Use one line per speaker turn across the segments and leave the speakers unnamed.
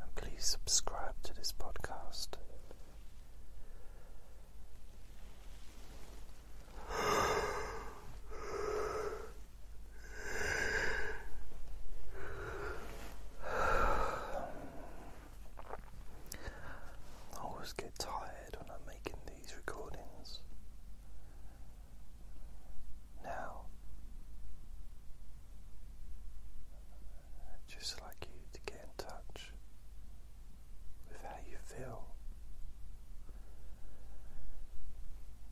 And please subscribe to this podcast. Um, I always get tired when I'm making these recordings. Now just like you to get in touch with how you feel.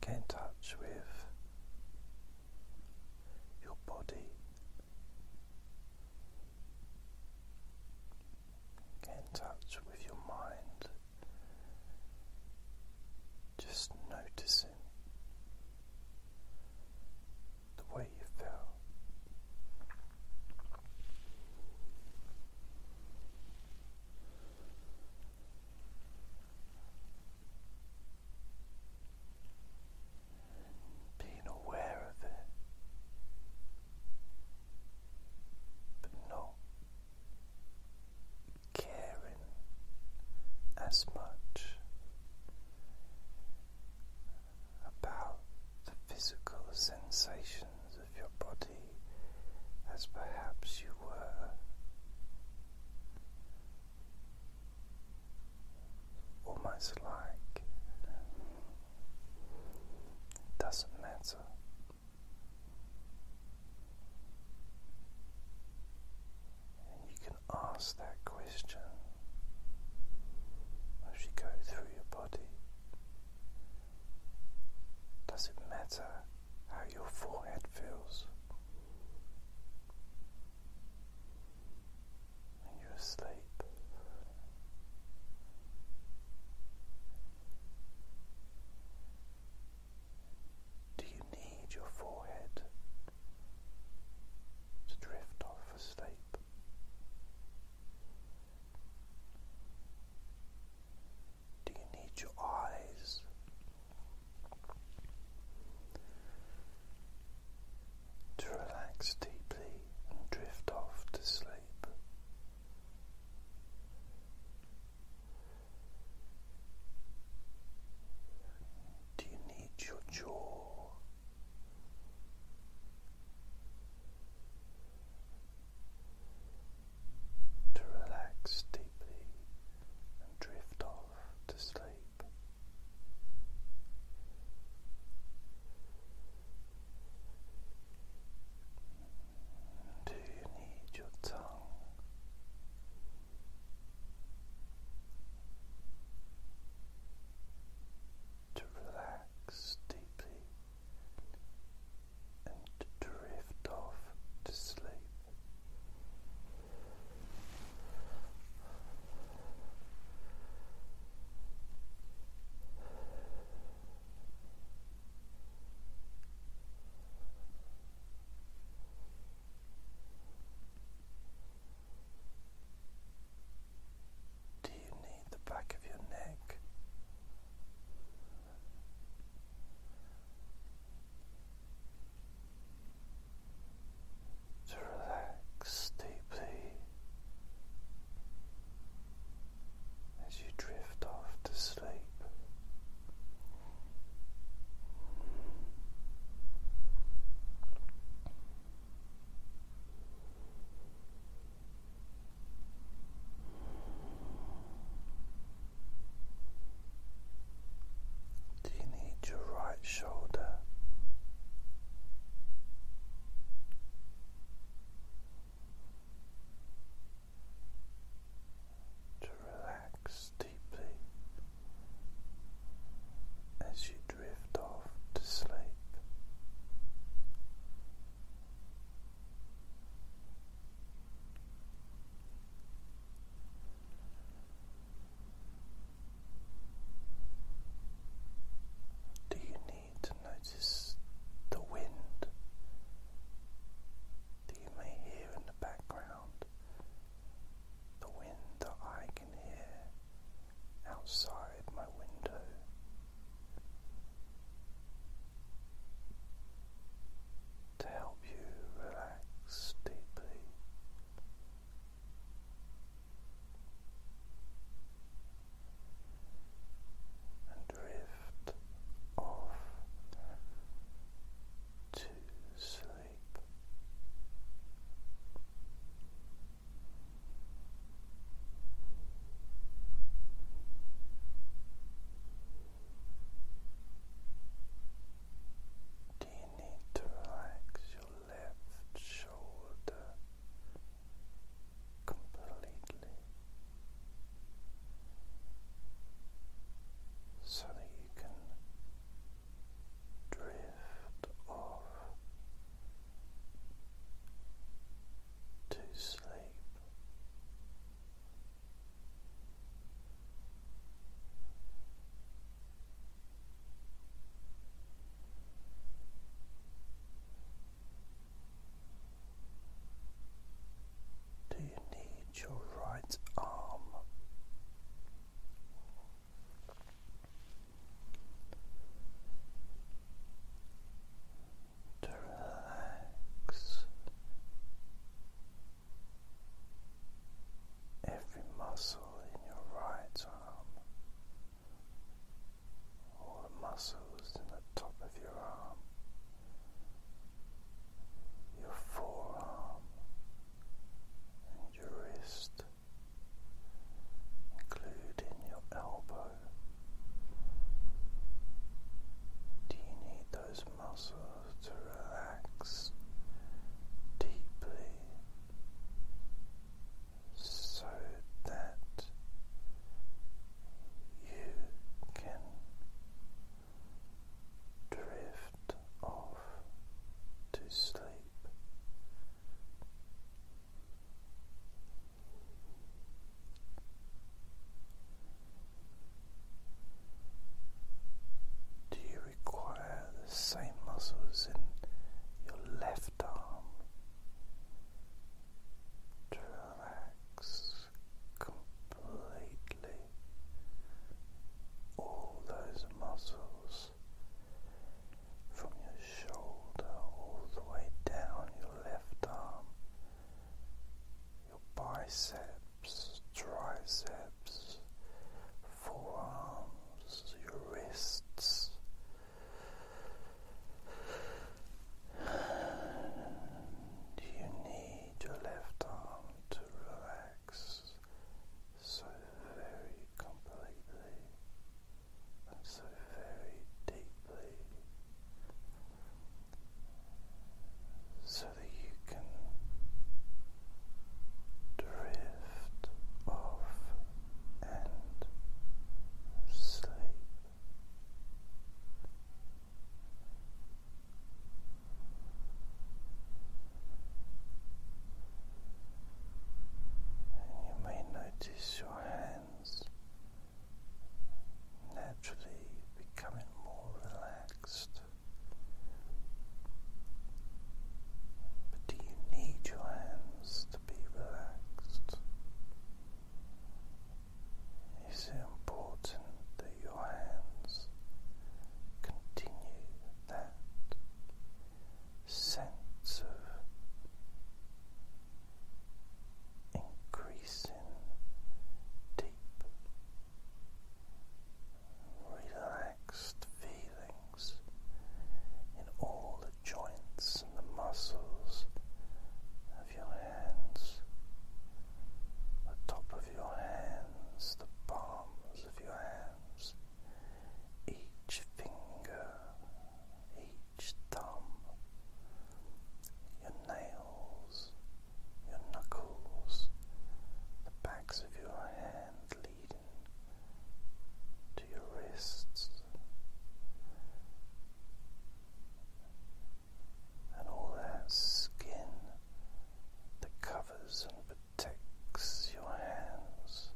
Get in touch with your body. Get in touch with your mind. Just noticing the way you feel. Being aware of it, but not caring as much about the physical sensations of your body as perhaps you were almost like doesn't matter. And you can ask that question as you go through your body. Does it matter how your forehead feels? When you're do you need your forehead to drift off asleep. Do you need your eyes? To relax deeply and drift off to sleep. Do you need your jaw to relax deeply and drift off to sleep. Do you need your tongue? to relax deeply and to drift off to sleep. Do you need the back of your neck? To relax deeply as you drift off to sleep. Do you need your right shoulder? To relax deeply as you drift off to sleep. Do you need to notice the wind that you may hear in the background? The wind that I can hear outside my window. To help you relax deeply, and drift off to sleep. Do you need to relax your left shoulder completely so that you can drift off to sleep. Do you need your right arm relax every muscle in your right arm, all the muscles in the top of your arm, your forearm, and your wrist including your elbow. Do you need those muscles to relax deeply so that you can drift off to sleep? Do you require the same muscles in your left arm to relax completely all those muscles? from your shoulder all the way down your left arm, your biceps, triceps, forearms, your wrists. you need your left arm to relax so very completely so very deeply so that you can drift off and sleep. And you may notice your hands naturally becoming more relaxed. But do you need your hands to be relaxed? Is it important that your hands continue that sense of increasing deep relaxed feelings in all the joints and the muscles of your hands, the top of your hands, the palms of your hands each finger, each thumb, your nails, your knuckles, the backs of your hand leading to your wrists. And all that skin that covers takes your hands.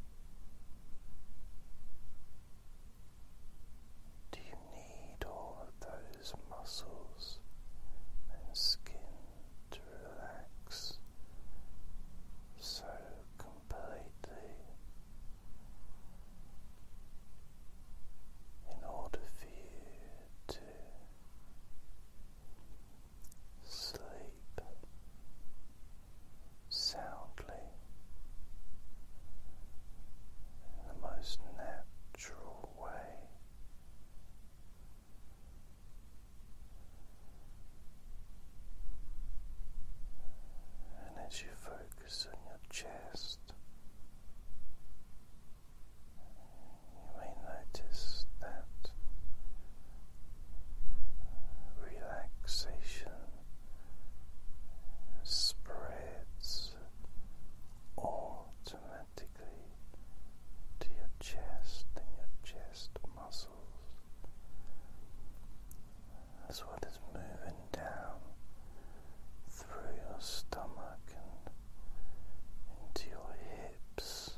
Do you need all those muscles and skin to relax so completely in order for you to sleep soundly in the most natural way. And as you focus on your chest, you may notice that relaxation spreads automatically to your chest and your chest muscles. As well as moving down through your stomach and into your hips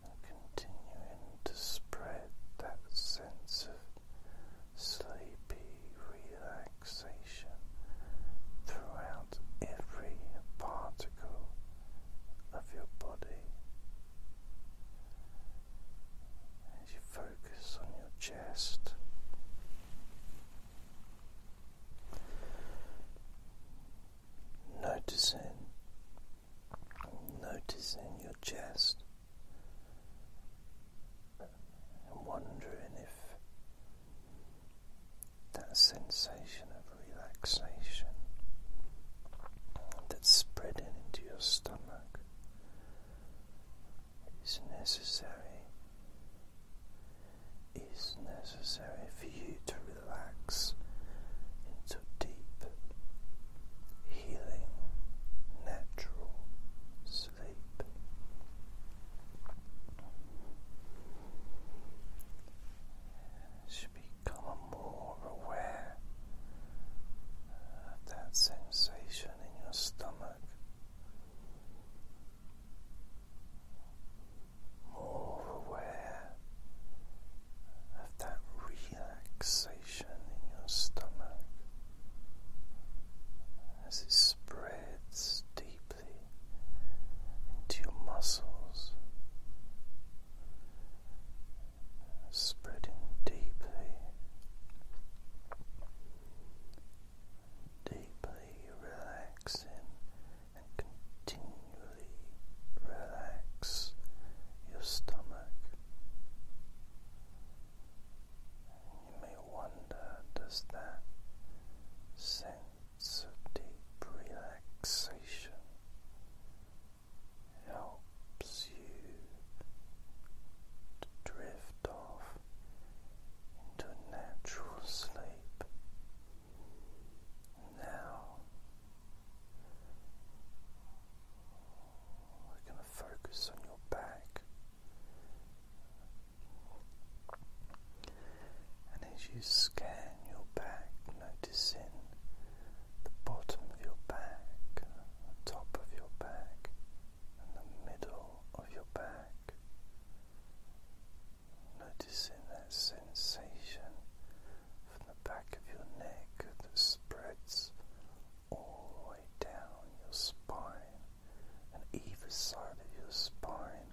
continuing to spread that sense of sleepy relaxation throughout every particle of your body. As you focus on your chest, noticing noticing your chest and wondering if that sensation of relaxation that's spreading into your stomach is necessary is necessary for you to relax into deep, healing, natural sleep. become more aware of that sensation in your stomach. More aware of that relaxation in your stomach as it spreads deeply into your muscles, spreading deeply, deeply relaxing and continuing relax your stomach. You may wonder, does that sense of deep relaxation helps you to drift off into natural sleep? Now we're going to focus on your back. And as you scan your back, noticing the bottom of your back, the top of your back, and the middle of your back, noticing that sensation from the back of your neck that spreads all the way down your spine and either side of your spine,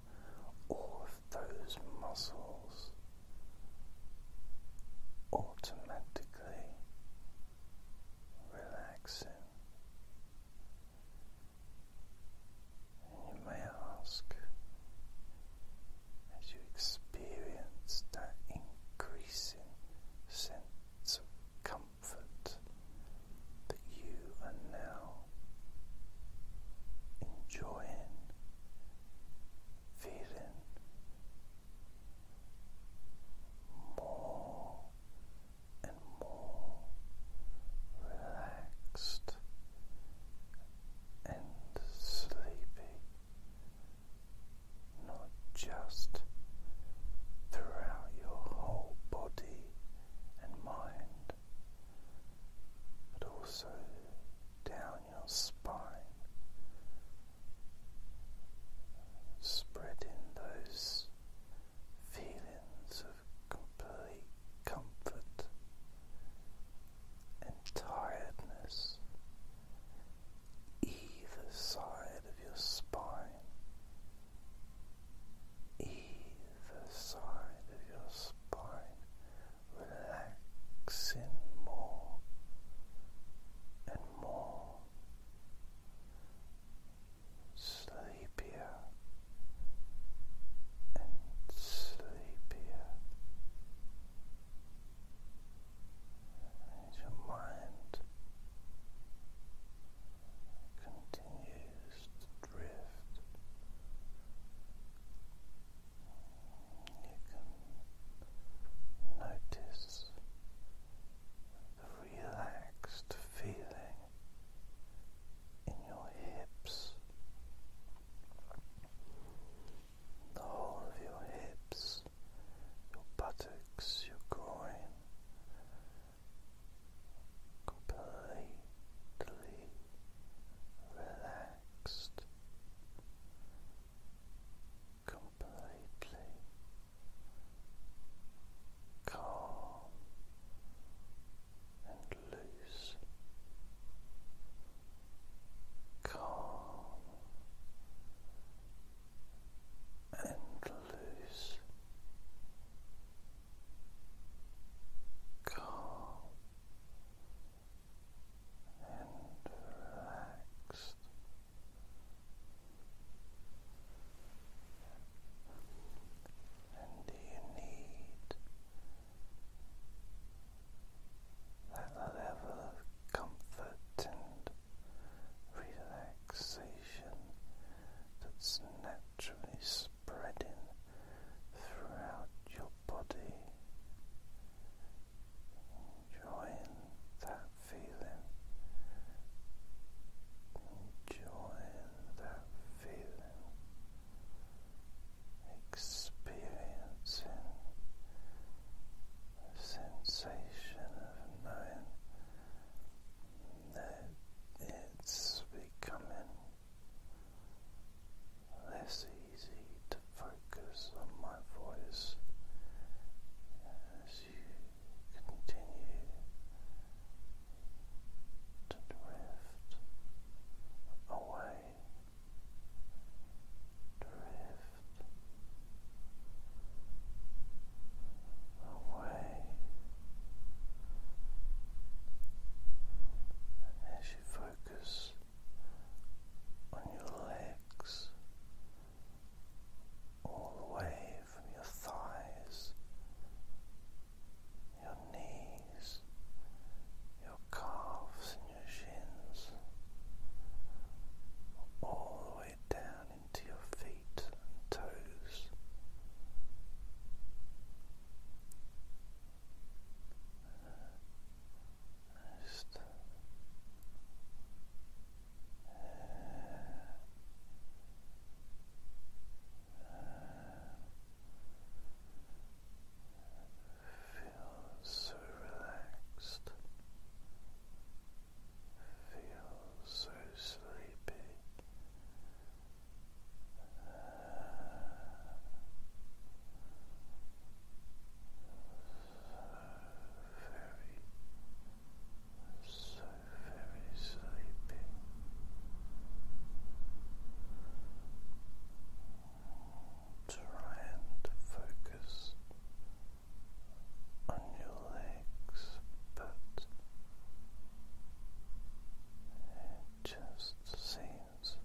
all of those muscles automatically relaxing. And you may ask, as you experience that increasing sense of comfort that you are now enjoying, feeling more and more relaxed and sleepy not just throughout your whole body and mind, but also down your spine, spreading those feelings of complete comfort and tiredness either side of your spine, either side of your spine, relaxing more and more, sleepier and sleepier and your mind continues to drift. You can notice the relaxed feeling in your hips the whole of your hips, your buttocks, your groin completely relaxed, completely calm and loose calm and loose, calm and relaxed. And do you need that level of comfort and relaxation that's naturally spreading throughout your body. Enjoying that feeling. Enjoying that feeling. Experiencing sensation of knowing that it's becoming less easy to focus on my voice as you continue to drift away drift away as you focus on your legs all the way from your thighs, your knees, your calves, your shins, all the way down into your feet and toes. Just Feel so relaxed. Feel so sleepy. So very, so very sleepy try and focus on your legs, but it just seems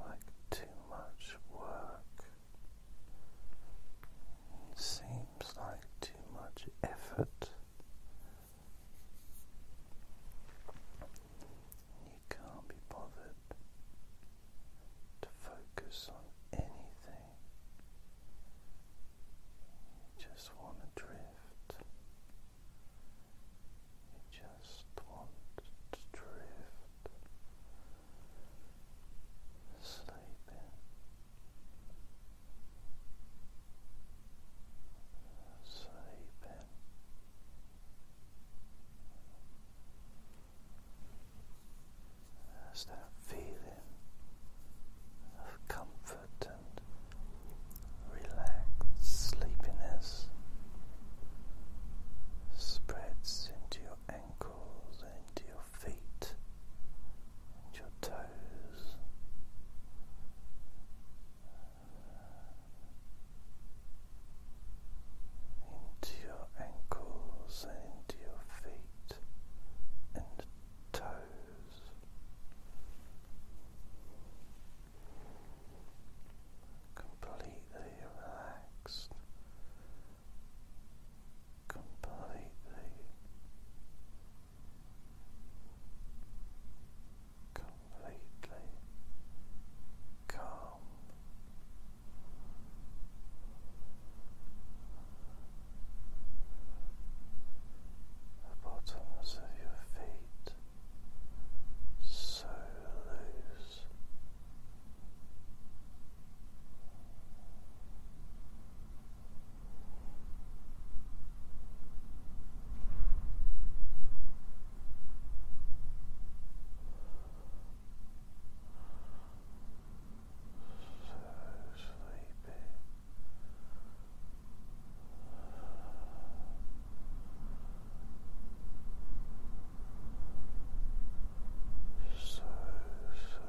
like too much work. seems like too much effort can't be bothered to focus on anything. just want to drift. just want to drift. Sleeping. Sleeping. There's that feeling of comfort and relaxed sleepiness spreads into your ankles, into your feet, and your toes into your ankles and into your feet and toes. Completely relaxed, completely, completely calm the bottoms of your feet so loose sleepy. So sleepy.